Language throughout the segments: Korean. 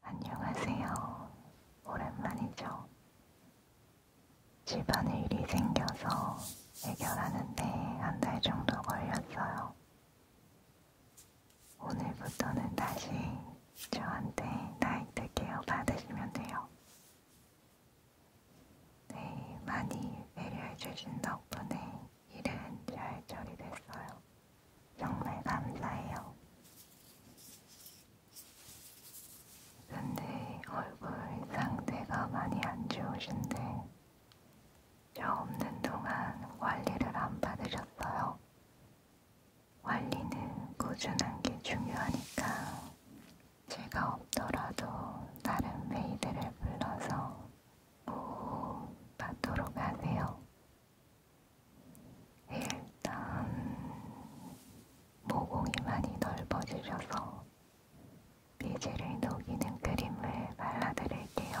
안녕하세요. 오랜만이죠. 집안에 일이 생겨서 해결하는데 한 달 정도 걸렸어요. 오늘부터는 다시 저한테 나이트 케어 받으시면 돼요. 네, 많이 배려해 주신 덕분에 일은 잘 처리됐어요. 정말 감사해요. 근데 얼굴 상태가 많이 안 좋으신데 저 없는 동안 관리를 안 받으셨어요. 관리는 꾸준한 게 중요하니까 제가 없더라도 다른 메이드를 불러서 오후 받도록 하세요. 일단 모공이 많이 넓어지셔서 미지를 녹이는 크림을 발라드릴게요.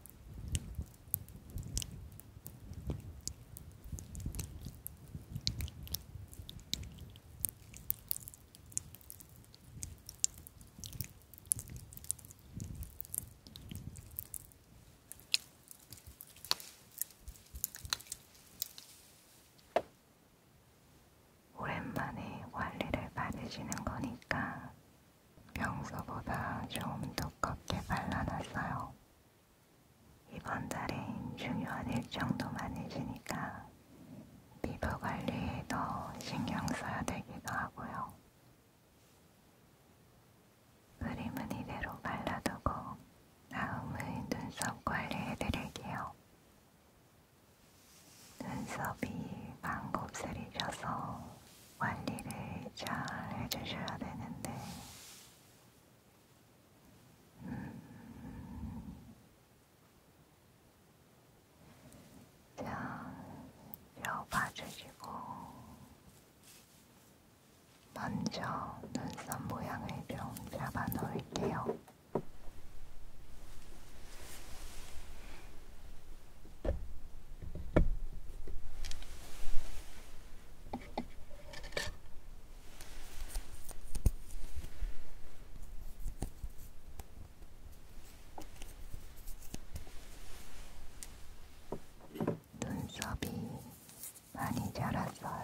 오랜만에 관리를 받으시는 거니까 평소보다 좀 두껍게 발라놨어요. 이번 달엔 중요한 일정도 많으시니까 피부 관리에 더 신경 써야 되기도 하고요. 그림은 이대로 발라두고 다음은 눈썹 관리해드릴게요. 눈썹이 반곱슬이셔서 관리를 잘 해주셔야 되는데, 음, 잘 봐주시고, 먼저 눈썹 모양을 좀 잡아 놓을게요. 눈썹이 많이 자랐어요.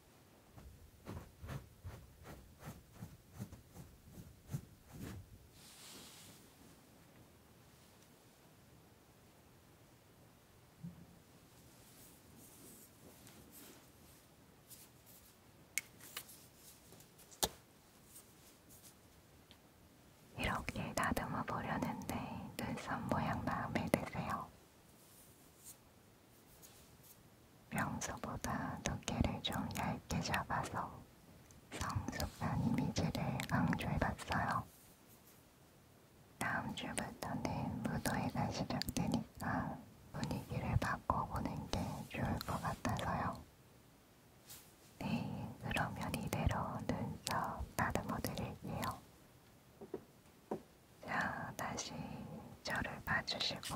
이렇게 다듬어 보려는데 눈썹 모양 마음에 드세요. 평소보다 두께를 좀 얇게 잡아서 성숙한 이미지를 강조해봤어요. 다음 주부터는 무도회가 시작되니까 분위기를 바꿔보는 게 좋을 것 같아서요. 네, 그러면 이대로 눈썹 다듬어 드릴게요. 자, 다시 저를 봐주시고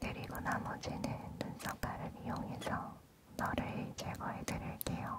그리고 나머지는 눈썹가를 이용해서 너를 제거해 드릴게요.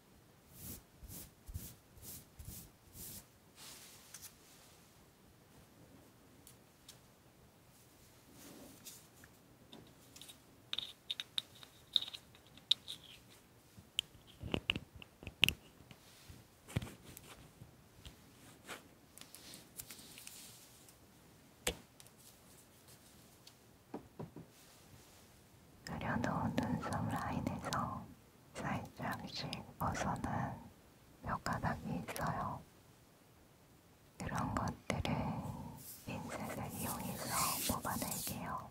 가려놓은 눈썹 라인에서 살짝씩 벗어난 뼈가닥이 있어요. 이런 것들은 인셋을 이용해서 뽑아낼게요.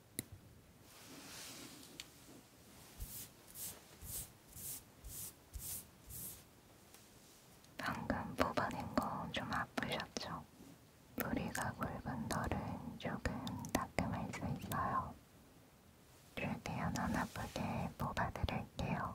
방금 뽑아낸 거 좀 아프셨죠? 뿌리가 굵은 덜은 조금 따끔할 수 있어요. 최대한 안 아프게 뽑아드릴게요.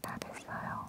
다 됐어요.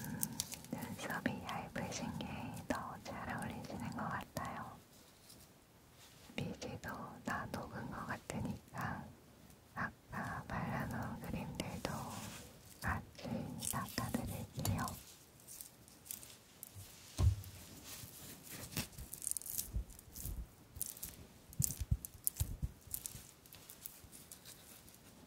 음, 눈썹이 얇으신 게 더 잘 어울리시는 것 같아요. 미지도 다 녹은 것 같으니까 아까 발라놓은 그림들도 같이 닦아드릴게요.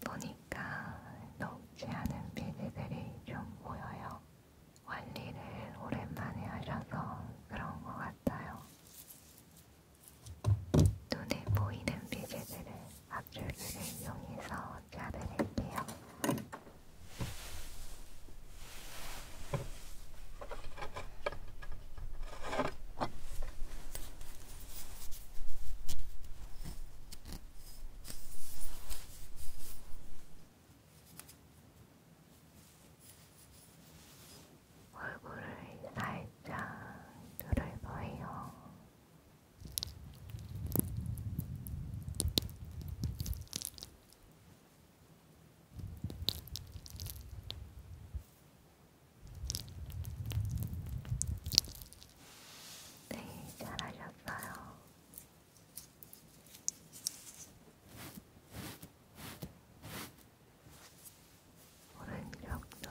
보니까 녹지 않은 피지들이 좀 보여요. 관리를 오랜만에 하셔서 그런 것 같아요. 눈에 보이는 피지들을 압출기를 이용해서 짜드릴게요. 얼굴을 살짝 누를 거예요. 네, 잘하셨어요. 오른쪽도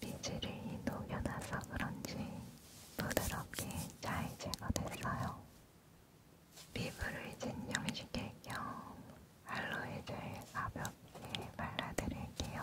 빗질이 녹여놔서 그런지 부드럽게 잘 제거됐어요. 피부를 진정시킬 겸 알로에젤 가볍게 발라드릴게요.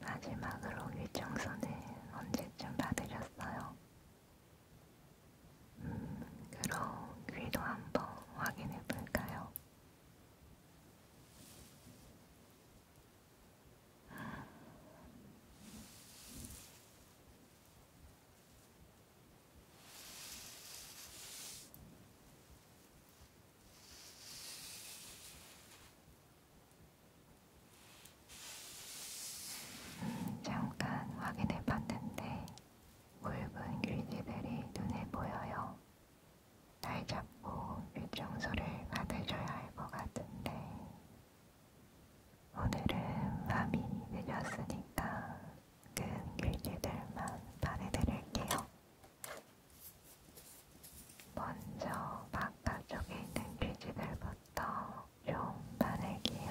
마지막으로 위청소는 언제쯤 받으셨어요? 음, 그럼 귀도 한번 확인해 볼까요? 음, 잠깐 확인해 봤는데 굵은 귀지들이 눈에 보여요. 날 잡고 일정소를 받으셔야 할 것 같은데 오늘은 밤이 늦었으니까 큰 귀지들만 발해드릴게요. 먼저 바깥쪽에 있는 귀지들부터 좀 바를게요.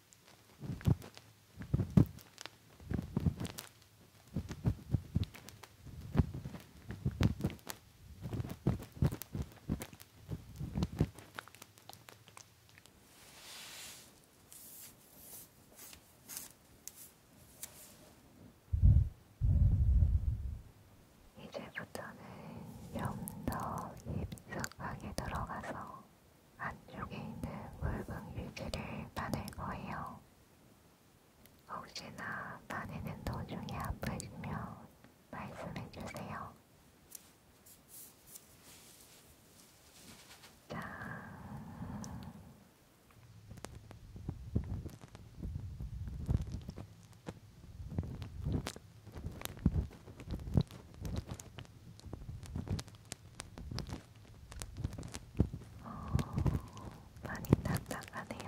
이제부터는 좀더 깊숙하게 들어가서 안쪽에 있는 붉은 휴지를 따낼 거예요. 혹시나 따내는 도중에 아프시면 말씀해 주세요. 짠! 오, 많이 답답하네요.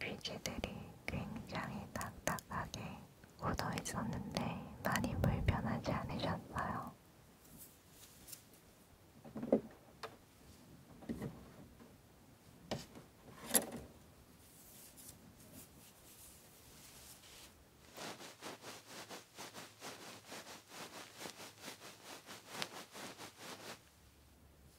귀지들이 굉장히 딱딱하게 굳어 있었는데 많이 불편하지 않으셨어요.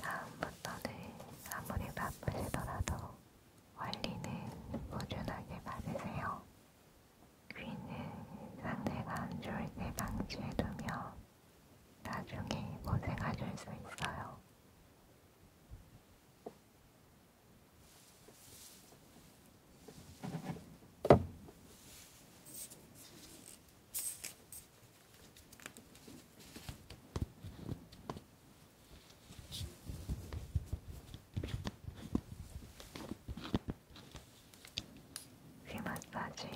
다음부터는 아무리 바쁘시더라도 원리는 꾸준하게 받으세요. 귀는 상태가 안 좋을 때 방치해두며 나중에 고생하실 수 있어요. 귀 마사지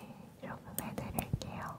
조금 해드릴게요.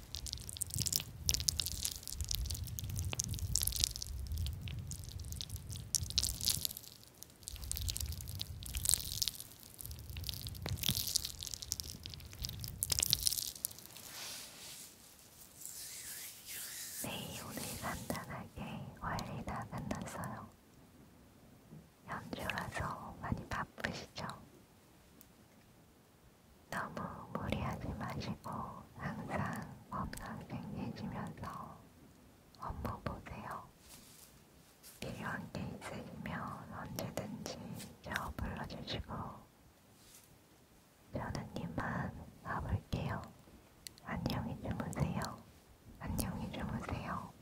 네, 오늘 간단하게 관리 다 끝났어요. 연주라서 많이 바쁘시죠? 너무 무리하지 마시고 항상 건강 챙기시면서 업무 보세요. 필요한 게 있으시면 언제든지 저 불러주시고 저는 이만 가볼게요. 안녕히 주무세요. 안녕히 주무세요.